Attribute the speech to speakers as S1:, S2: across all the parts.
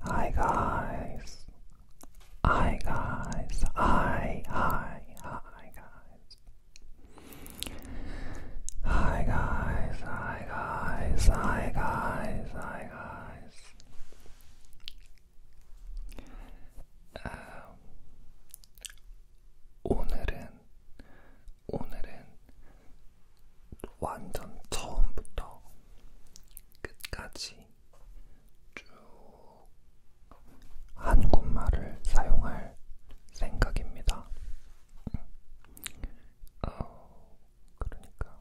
S1: Hi guys. Hi guys. Hi, hi, hi guys. Hi guys, hi guys, hi guys, hi guys. 아, 오늘은 오늘은 완전 처음부터 끝까지 쭉 한국말을 사용할 생각입니다. 어, 그러니까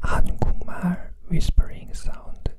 S1: 한국말 whispering sound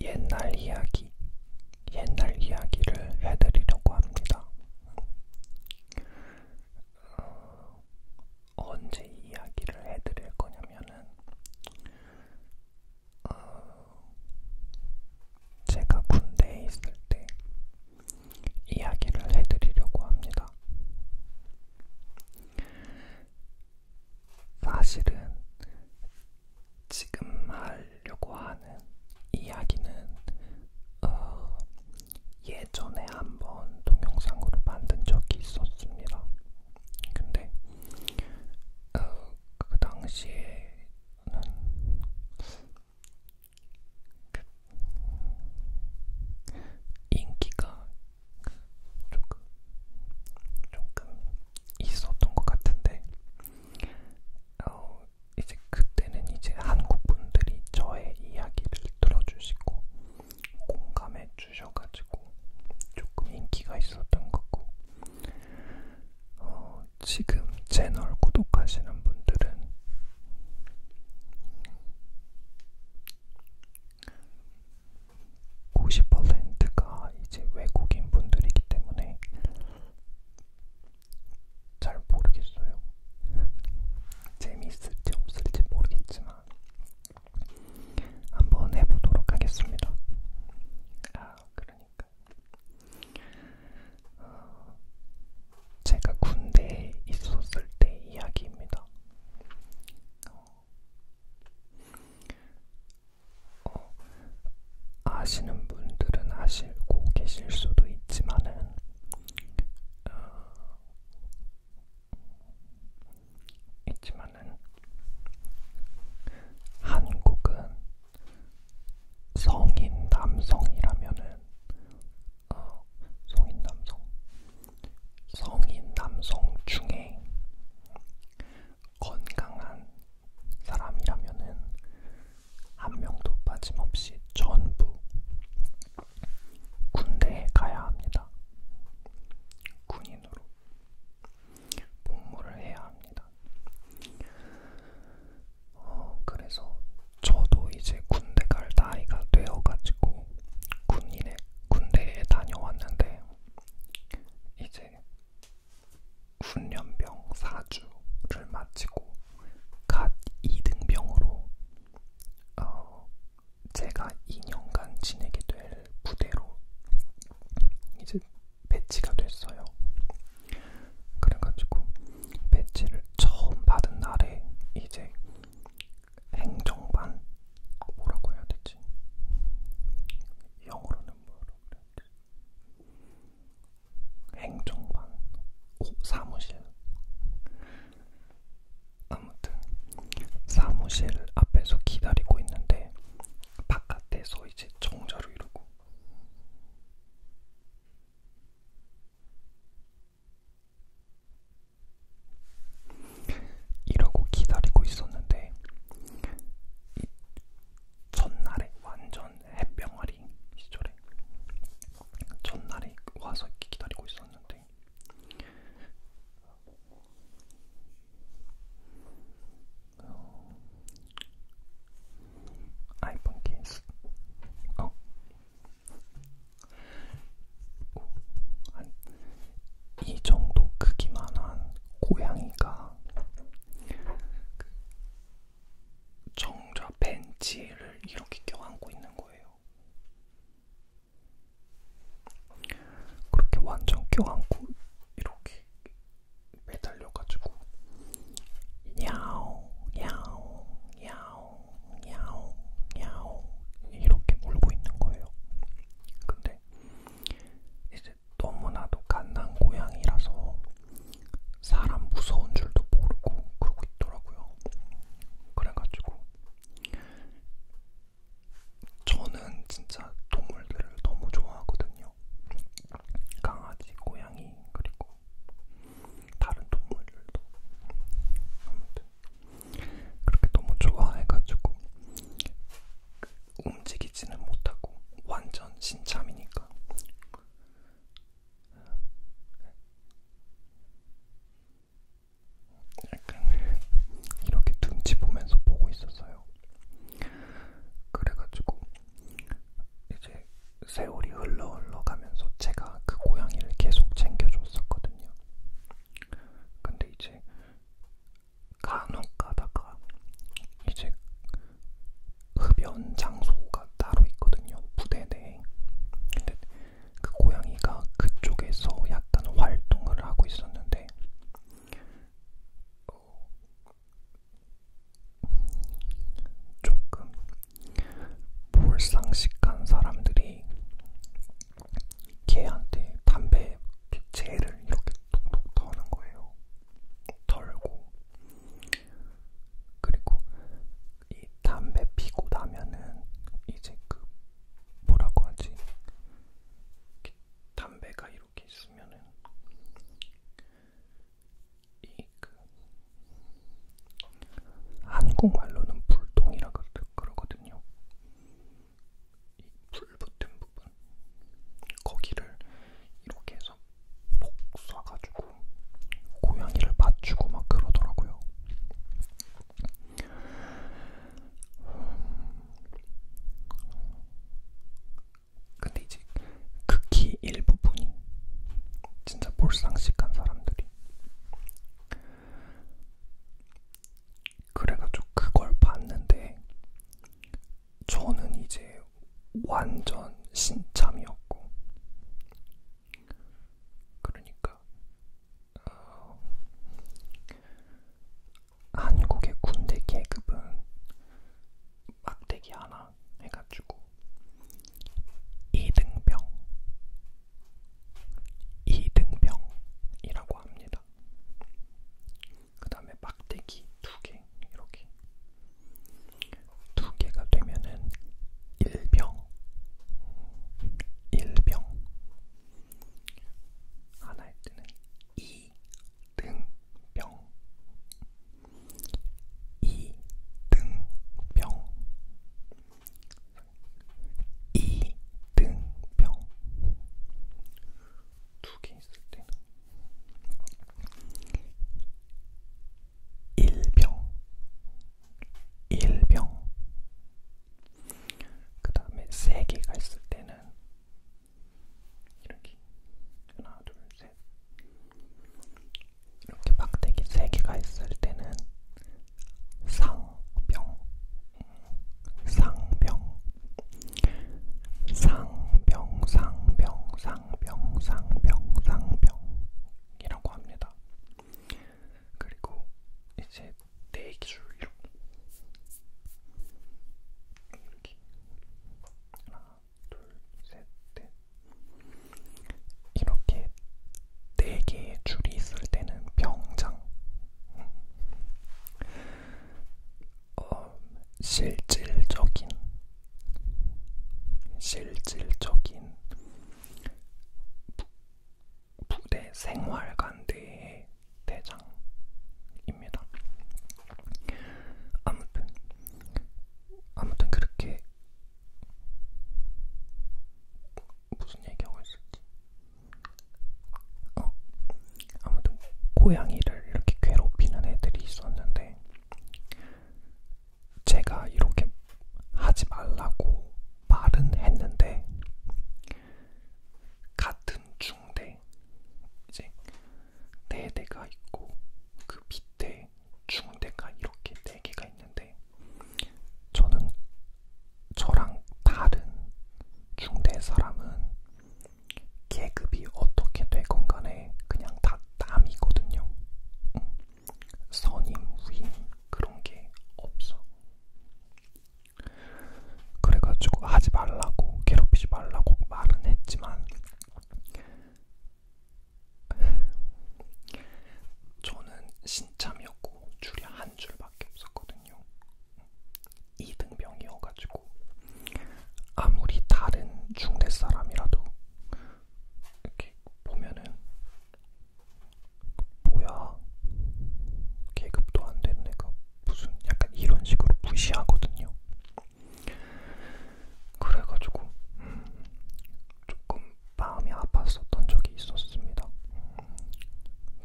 S1: 옛날 이야기, 옛날 이야기를 해드리려고 합니다. 어, 언제 이야기를 해드릴 거냐면은 어, 제가 군대에 있을 때 이야기를 해드리려고 합니다. 사실은 지금 하려고 하는 이야기는 어, 예전에 한번 동영상으로 만든 적이 있었습니다. 근데 어, 그 당시에는 그 인기가 조금 조금 있었던 것 같은데 어, 이제 그때는 이제 한국 분들이 저의 이야기를 들어주시고 공감해 주셔가지고 조금 인기가 있었던 거고 어, 지금 채널 구독하시는 분들은 고시퍼센트가 이제 외국인 분들이기 때문에 잘 모르겠어요. 재미있을지 없을지 모르겠지만 한번 해보도록 하겠습니다. 아, 그러니까 어, 제가 군대에 있었을 때 이야기입니다. 어, 어, 아시는 분들은 아시고 계실 수도 있지만은 어, 있지만은 한국은 성인 남성이라면은 어, 성인 남성 성인 남성 중에 건강한 사람이라면은 한 명도 빠짐없이 전부 군대에 가야 합니다. 군인으로 복무를 해야 합니다. 어, 그래서 저도 이제 군대 갈 나이가 되어가지고 군인의 군대에 다녀왔는데 이제 훈련병 4주를 마치고 갓 2등병으로 어, 제가 2년간 지내게 될 부대로 이제 배치가 됐어요. 그래가지고 배치를 처음 받은 날에 이제 행정반 뭐라고 해야 되지? 영어로는 뭐라고 해야 되지? 행정반, 오, 사무실. 아무튼 사무실 앞에서 기다리고 있는데 바깥에서 이제 정자로 이러고. 이러고 기다리고 있었는데 전날에 완전 햇병아리 시절에 전날에 와서 기다리고 있었는데 어, 아이폰 케이스 어. 이 정도 크기만한 고양이가 제가 그 정자 벤치를 이렇게 껴안고 있는 거예요. 그렇게 완전 껴안고 이렇게 매달려가지고 야옹 야옹 야옹 야옹 야옹 이렇게 울고 있는 거예요. 근데 이제 이제 너무나도 갓난 고양이라서 사람 무서운 줄도 모르고 그러고 있더라고요. 그래가지고 저는 진짜 동물들을 너무 좋아하거든요. 강아지, 고양이, 그리고 다른 동물들도 아무튼 그렇게 너무 좋아해가지고 움직이지는 못하고 완전 신참이니까 약간 이렇게 눈치 보면서 보고 있었어요. 그래가지고 이제 세월이 흘러 흘러 가면서 제가 그 고양이를 계속 챙겨줬었거든요. 근데 이제 간혹 가다가 이제 흡연 장소가 따로 있거든요. 부대 내에. 근데 그 고양이가 그쪽에서 약간 활동을 하고 있었는데 어, 조금 몰상식한 사람들이 걔한테 담배 피체를 그 이렇게 톡톡 터는 거예요. 털고 그리고 이 담배 피고 나면은 이제 그 뭐라고 하지? 담배가 이렇게 있으면은 이 그 한국말로는 불똥이라 그러거든요. 이불 붙은 부분 거기를 이렇게 해서 폭 쏴가지고 고양이를 맞추고 막 그러더라고요. 근데 이제 극히 일부분이 진짜 몰상식한 사람들이 그래가지고 그걸 봤는데 저는 이제 완전 신참이었고, 그러니까 어, 한국의 군대 계급은 막대기 하나 해가지고 2등병, 2등병이라고 합니다. 그 다음에 막대기 두개 이렇게 두 개가 되면은 일병 일병 하나일 때는 이등병 이등병 이등병 두 개 있을 때는 일병, 일병. 그 다음에 세 개가 있을 때는 이렇게 하나, 둘, 셋. 이렇게 박대기 세 개가 있을 때는 상병, 음, 상병. 상병상병상병상병상병이라고 합니다. 그리고 이제 대기줄 이렇게 이렇게 하나 둘셋넷 이렇게 네 개의 줄이 있을 때는 병장 어, 실질적인 실질적인 부대 생활관대의 대장입니다. 아무튼 아무튼 그렇게 무슨 얘기하고 있었지? 어 아무튼 고양이를 이렇게 괴롭히는 애들이 있었는데 제가 이렇게 하지 말라고 말은 했는데 같은 중대 이제 네 대가 있고 그 밑에 중대가 이렇게 네 개가 있는데 저는 저랑 다른 중대 사람은 계급이 어떻게 되건 간에 그냥 다 땀이거든요. 응. 선임, 위임 그런 게 없어. 그래가지고 하지 말라고 괴롭히지 말라고 말은 했지만 저는 신참이었고 줄이 한 줄밖에 없었거든요. 이등병이어가지고 아무리 다른 중대 사람이라도 이렇게 보면은 뭐야 계급도 안 되는 애가 무슨 약간 이런 식으로 무시하거든요. 그래가지고 음, 조금 마음이 아팠었던 적이 있었습니다. 음,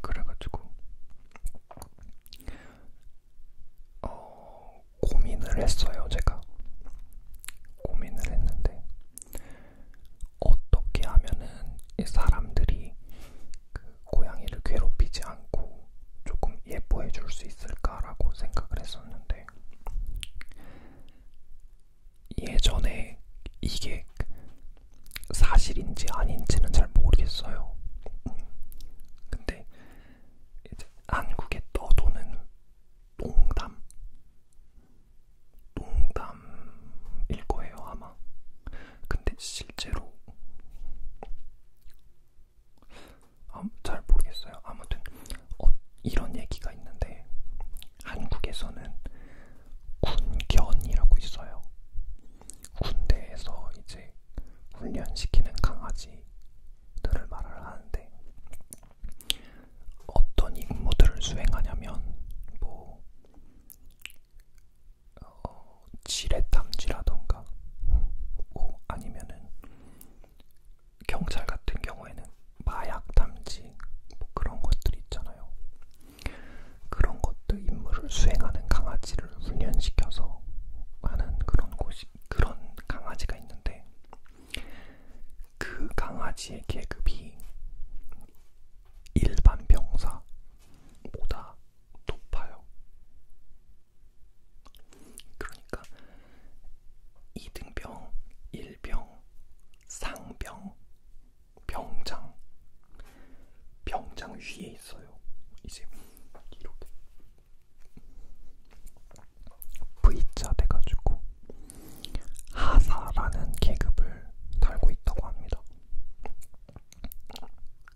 S1: 그래가지고 어, 고민을 했어요, 제가. 고민을 했는데, 어떻게 하면은 이 사람들이 그 고양이를 괴롭히지 않고 조금 예뻐해 줄 수 있을까라고 생각을 했었는데, 예전에 이게 사실인지 아닌지는 잘 모르겠어요. 근데 이제 한국에 떠도는 농담, 농담일 거예요 아마. 근데 실제로 아, 잘 모르겠어요. 아무튼 어, 이런 얘기가 있는데 한국에서는 군견이라고 있어요. 군대에서 이제 훈련시키는 강아지들을 말을 하는데 어떤 임무들을 수행하냐면 뭐 어, 지뢰탐지라던가 뭐 아니면은 경찰 같은 경우에는 마약탐지 뭐 그런 것들 있잖아요. 그런 것들 임무를 수행하는 강아지를 훈련시켜서 하는 그런 곳이 그런 강아지가 있는데 그 강아지의 계급이 일반 병사보다 높아요. 그러니까 2등병, 1병, 상병, 병장, 병장 위에 있어요. 이제 이렇게 V자 돼가지고 하사라는 계급을 달고 있다고 합니다.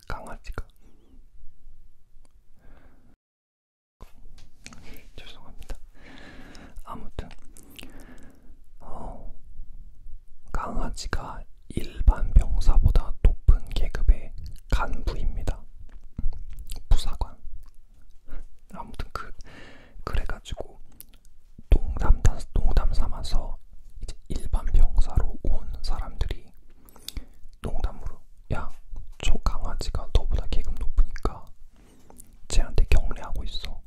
S1: 강아지가 죄송합니다. 아무튼 어, 강아지가 일반 병사보다 높은 계급의 간부입니다. 부사관. 아무튼 그 그래가지고 농담 농담 삼아서 이제 일반 병사로 온 사람들이 농담으로 야, 저 강아지가 너보다 계급 높으니까 쟤한테 경례하고 있어.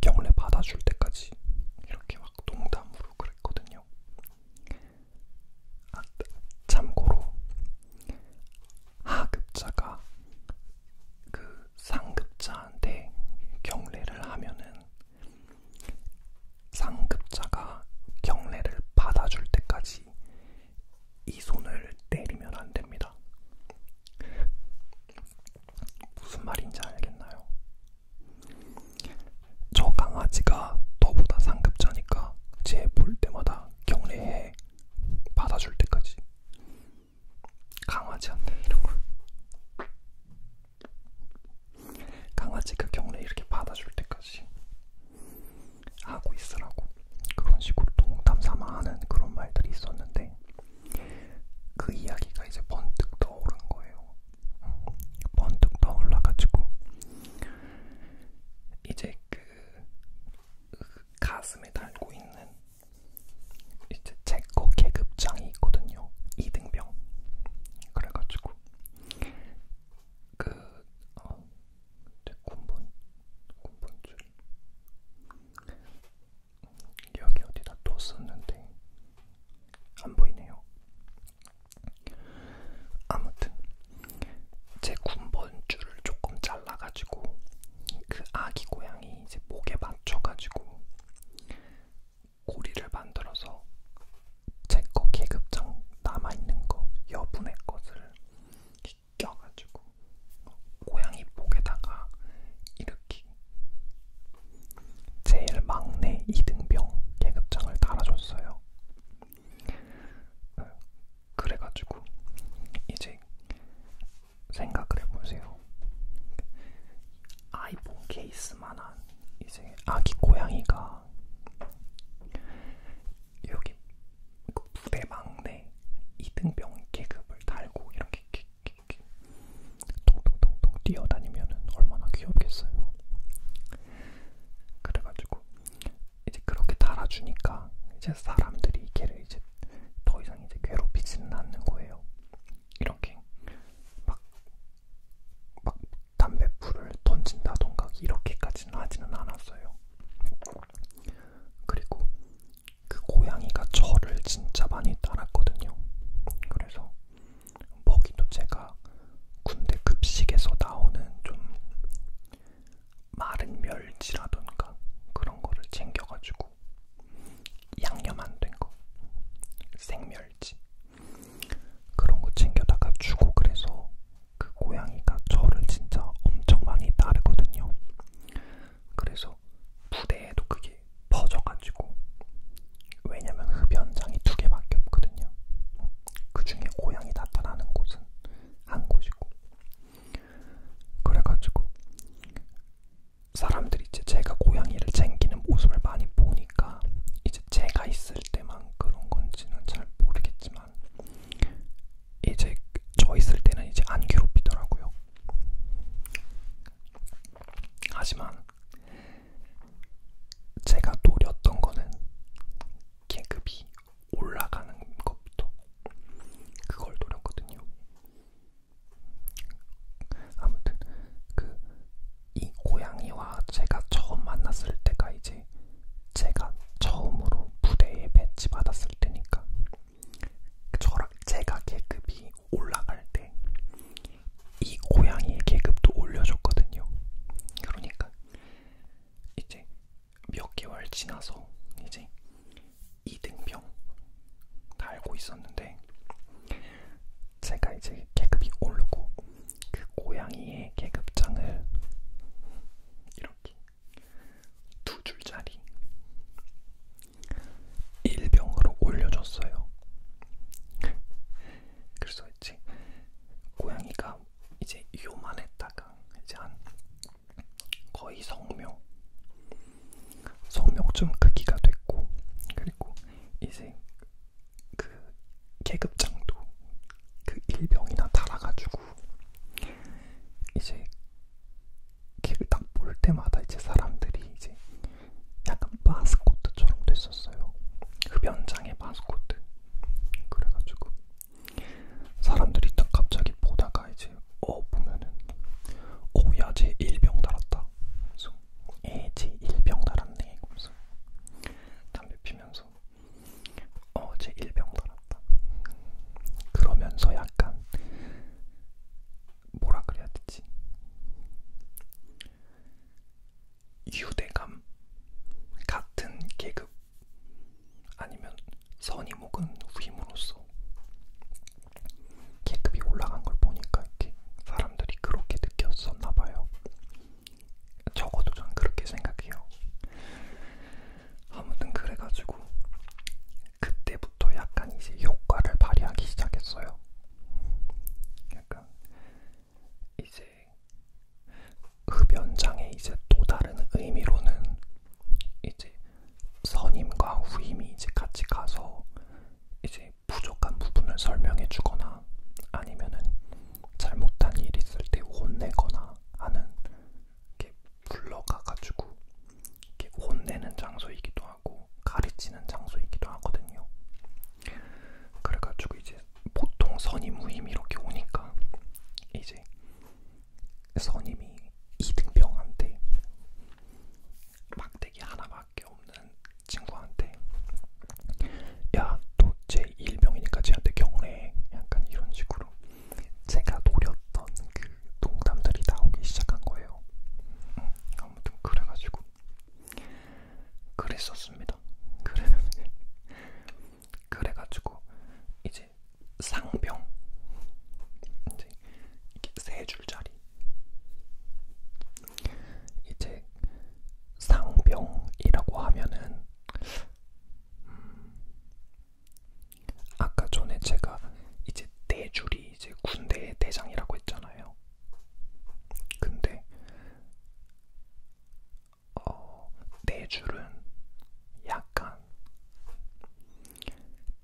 S1: 경례 받아줄 때까지 이렇게 막 농담으로 그랬거든요. 아, 참고로 하급자가 그 상급자한테 경례를 하면은 상급자가 경례를 받아줄 때까지 이 손을 때리면 안 됩니다. 무슨 말인지 알겠나요? 저 강아지가 너보다 상급자니까 쟤 볼 때마다 경례해 받아줄 때까지 강아지한테 이런 거 강아지가 경례 이렇게 받아줄 때까지 하고 있으라고 그런 식으로 동담 삼아 하는 그런 말들이 있었는데 그 이야기가 이제 번뜩 떠오른 거예요. 음, 번뜩 떠올라가지고 이제 그, 그 가슴에 달고 있는 이제 제거 계급장이 있거든요. 2등병. 그래가지고 그 어, 군번 군번줄 여기 어디다 또 썼는데 안 보이네요. 아무튼 제 군번줄을 조금 잘라가지고 그 아기 고양이 이제 목에 맞춰가지고 고리를 만들어서 제거 계급장 남아있는 거 여분의 것을 껴가지고 고양이 목에다가 이렇게 제일 막내 이등병 계급장을 달아줬어요. 그래가지고 이제 생각을 해보세요. 아이폰 케이스만한 이제 아기 고양이가 여기 그 부대 막내 2등병 계급을 달고 이렇게 통통통통 뛰어다니면 얼마나 귀엽겠어요. 그래가지고 이제 그렇게 달아주니까 이제 사람들이 걔를 이제 더 이상 이제 괴롭히지는 않는 거예요. 이렇게 막, 막 담배풀을 던진다던가 이렇게까지는 하지는 않았어요. 그리고 그 고양이가 저를 진짜 많이 따랐거든요. 그래서 먹이도 제가 군대 급식에서 나오는 좀 마른 멸치라던가 그런 거를 챙겨가지고 양념 안 된 거, 생멸치 그런 거 챙겨다가 주고 그래서 그 고양이가 저를 진짜 엄청 많이 따르거든요. 그래서 부대에도 그게 퍼져가지고 왜냐면 흡연장이 두 개밖에 없거든요. 그 중에 고양이 나타나는 곳은 한 곳이고 그래가지고 사람들이 이제 제가 고양이를 챙기는 모습을 많이 보니까 이제 제가 있을 때만 그런 건지는 잘 모르겠지만 이제 저 있을 때는 이제 안 괴롭히더라고요. 하지만 제가 노렸던 거는 계급이 올라가는 것부터 그걸 노렸거든요. 아무튼 그 이 고양이와 제가 처음 만났을 때가 이제 제가 처음으로 부대에 배치받았을 때니까 저랑 제가 계급이 올라갈 때 이 고양이의 계급도 올려줬거든요. 그러니까 이제 몇 개월 지나서 이제 이등병 다 알고 있었는데 제가 이제 계급이 오르고 그 고양이의 계급장을 이렇게 두 줄짜리 일병으로 올려줬어요. 그래서 이제 고양이가 이제 요만했다가 이제 한 거의 성묘 성묘 좀 크기가 됐고 그리고 이제 그 계급장도 그 일병이나 달아가지고 이제 걔를 딱볼 때마다 이제 사람들이 이제 약간 마스코트처럼 됐었어요. 흡연장의 마스코트. 그래가지고 사람들이 딱 갑자기 보다가 이제 어 보면은 오야 쟤 일병 달았다. 그래서 에쟤 일병 달았네. 그래서 담배 피면서 어쟤 일병 달았다. 그러면서 약간 뭐라 그래야 되지? 유대감 같은 계급 아니면 선이 먹은 후임으로서 계급이 올라간 걸 보니까 이렇게 사람들이 그렇게 느꼈었나 봐요. 적어도 전 그렇게 생각해요. 아무튼 그래가지고 그때부터 약간 이제 효과를 발휘하기 시작했어요. 약간 이제 흡연장의 이제 또 다른 의미로는 이제 선임과 후임이 이제 같이 가서 이제 부족한 부분을 설명해 주거나 아니면은 잘못한 일 있을 때 혼내거나 하는 이렇게 불러가 가지고 이렇게 혼내는 장소이기도 하고 가르치는 장소이기도 하거든요. 그래가지고 이제 보통 선임 후임 이렇게 오니까 이제 선임이 이등병한테 막대기 하나밖에 없는 친구한테 야또제 일병이니까 쟤한테 경례 약간 이런 식으로 제가 노렸던 그 농담들이 나오기 시작한 거예요. 음, 아무튼 그래가지고 그랬었습니다. 그랬는데 그래가지고 이제 상병 이제 이게 세 줄짜리 이제 상병이라고 하면은 음 아까 전에 제가 이제 네 줄이 이제 군대의 대장이라고 했잖아요. 근데 어, 네 줄은 약간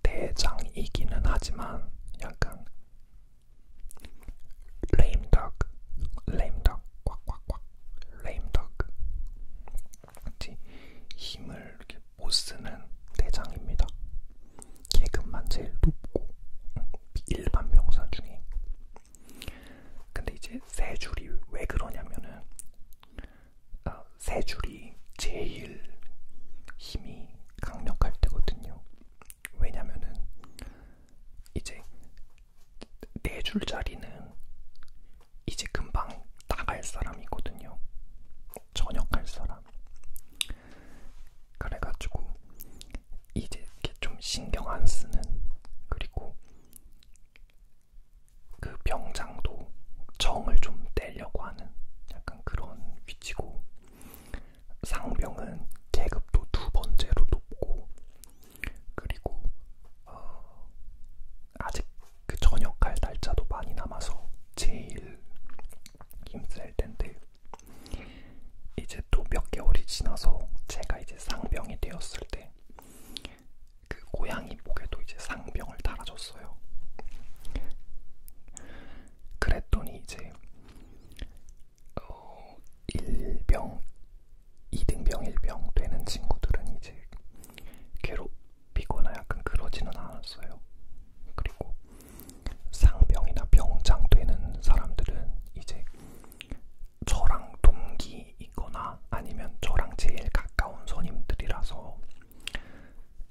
S1: 대장이기는 하지만 약간 lame duck, lame duck, 꽉꽉꽉, lame duck. 힘을 이렇게 못 쓰는 대장입니다. 계급만 제일 높고 음, 일반 명사 중에 근데 이제 세 줄이 왜 그러냐면은 어, 세 줄이 제일 힘이 강력할 때거든요. 왜냐면은 이제 네 줄짜리는 이제 금방 나갈 사람이거든요. 전역할 사람. 그래가지고 이제 이렇게 좀 신경 안 쓰는 그리고 그 병장도 정을 좀 떼려고 하는 약간 그런 위치고 상병은 계급도 두 번째로 높고 그리고 어 아직 그 전역할 날짜도 많이 남아서 제일 힘쓸 텐데 이제 또 몇 개월이 지나서 제가 이제 상병이 되었을 때 그 고양이 목에도 이제 상병을 달아줬어요. 그랬더니 이제 어, 1병, 2등병, 1병 되는 친구들은 이제 괴롭히거나 약간 그러지는 않았어요. 그리고 상병이나 병장 되는 사람들은 이제 저랑 동기이거나 아니면 저랑 제일 가까운 손님들이라서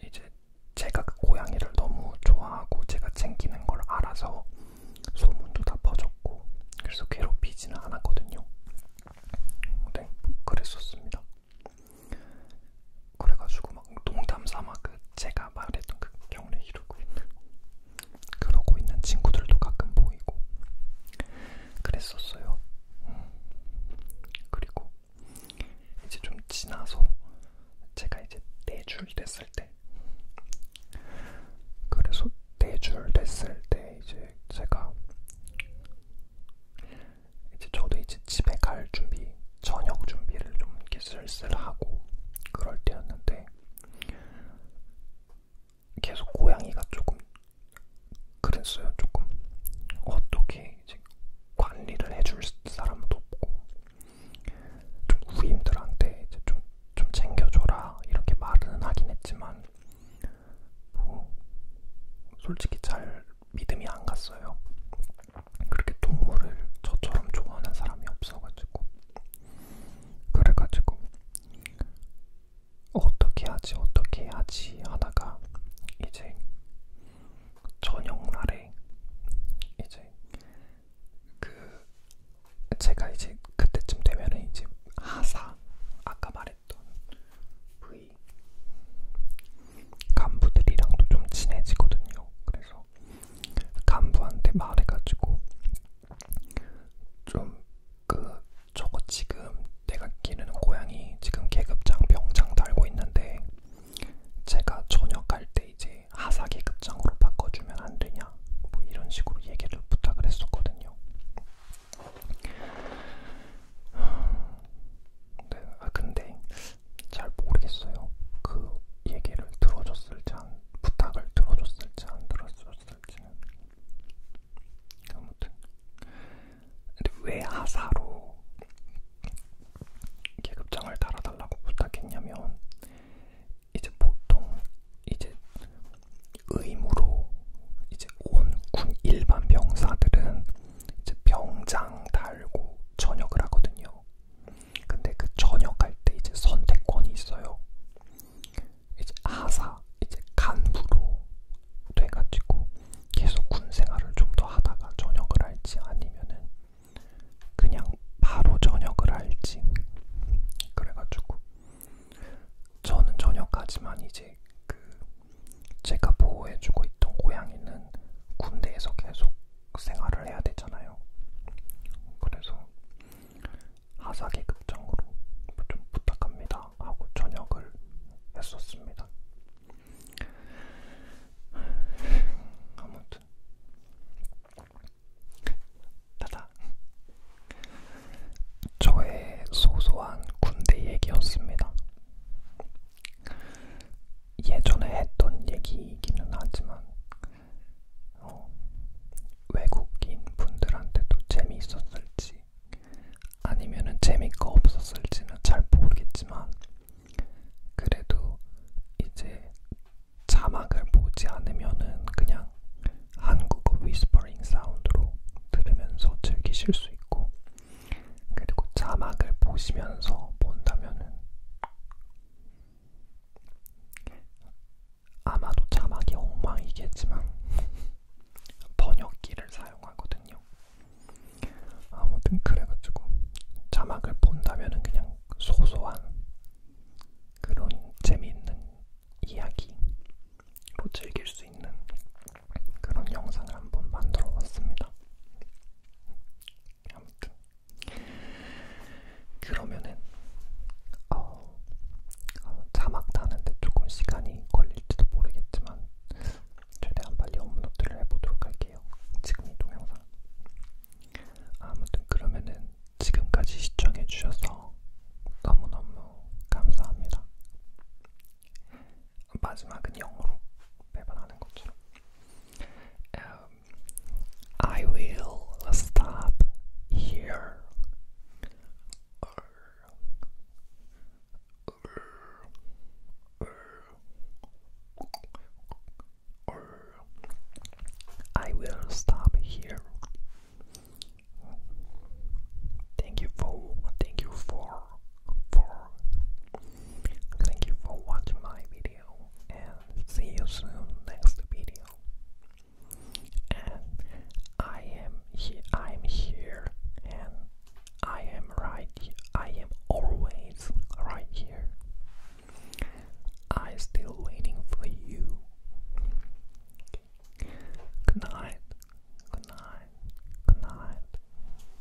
S1: 이제 제가 그 고양이를 너무 좋아하고 제가 챙기는 걸 알아서 소문도 다 퍼졌고 그래서 괴롭히지는 않았거든요. 네, 그랬었습니다. 그래가지고 막 농담 삼아 그 제가 말했던 그 경례 이루고 있는 그러고 있는 친구들도 가끔 보이고 그랬었어요. 음. 그리고 이제 좀 지나서 제가 이제 네줄 됐을 때 그래서 네줄 됐을 때 이제 제가 이제 저도 이제 집에 갈 준비 저녁 준비를 좀 이렇게 슬슬 하고 그럴 때였는데 계속 고양이가 조금 그랬어요. 조금 어떻게 이제 관리를 해줄 사람도 없고 좀 후임들한테 이제 좀, 좀 챙겨줘라 이렇게 말은 하긴 했지만 뭐 솔직히 잘 믿음이 안 갔어요. 그렇게 동물을 저처럼 좋아하는 사람이 없어가지고 그래가지고 어떻게 하지 어떻게 하지 하다가 이제 저녁날에 이제 그 제가 이제 그때쯤 되면은 이제 하사 아까 말했던 V 간부들이랑도 좀 친해지거든요. 그래서 간부한테 말해가지고 좀그 저거 지금 내가 기르는 고양이 지금 계급장 병장 달고 있는데 제가 전역할 때 이제 하사 계급장으로 바꿔주면 안 되냐 뭐 이런 식으로 얘기를 부탁을 했었거든요. 네, 아 근데 잘 모르겠어요. 그 얘기를 들어줬을지 안 부탁을 들어줬을지 안 들어줬을지 사실은 아무튼 근데 왜 하사로 계급장을 달아달라고 부탁했냐면 이제 보통 이제 의무로 이제 온 군 일반 병사들은 이제 병장 달고 전역을 하거든요. 근데 그 전역할 때 이제 선택권이 있어요. 이제 하사, 이제 간부로 돼가지고 계속 군 생활을 좀 더 하다가 전역을 할지 아니면은 그냥 바로 전역을 할지 그래가지고 저는 전역하지만 이제 그 제가 보호해주고 있던 고양이는 군대에서 계속 생활을 해야 되잖아요. 그래서 하사기 극장으로 좀 부탁합니다 하고 전역을 했었습니다. 아무튼 따다 저의 소소한 군대 얘기였습니다. 예전에 했던 얘기이기는 하지만 어, 외국인 분들한테도 재미있었을지 아니면은 재미가 없었을지는 잘 모르겠지만 그래도 이제 자막을 보지 않으면은 그냥 한국어 위스퍼링 사운드로 들으면서 즐기실 수 있고 그리고 자막을 보시면서 본다면은 아마도 자막이 엉망이겠지만 번역기를 사용하거든요. 아무튼 그래가지고 자막을 본다면은 그냥 소소한 그런 재미있는 이야기로 즐길 수 있는 그런 영상을 한번 만들어봤습니다. 아무튼 그러면은 어, 어, 자막 다는데 조금 시간이 걸릴지도 모르겠지만 최대한 빨리 업로드를 해보도록 할게요. 지금 이 동영상. 아무튼 그러면은 지금까지 시청해주셔서 너무너무 감사합니다. 마지막은 영어로 매번 하는 것처럼. Um, I will stop here I will stop here. Thank you for thank you for for thank you for watching my video and see you soon next video and I am here I am here and I am right I am always right here I still waiting for you Good night good night good night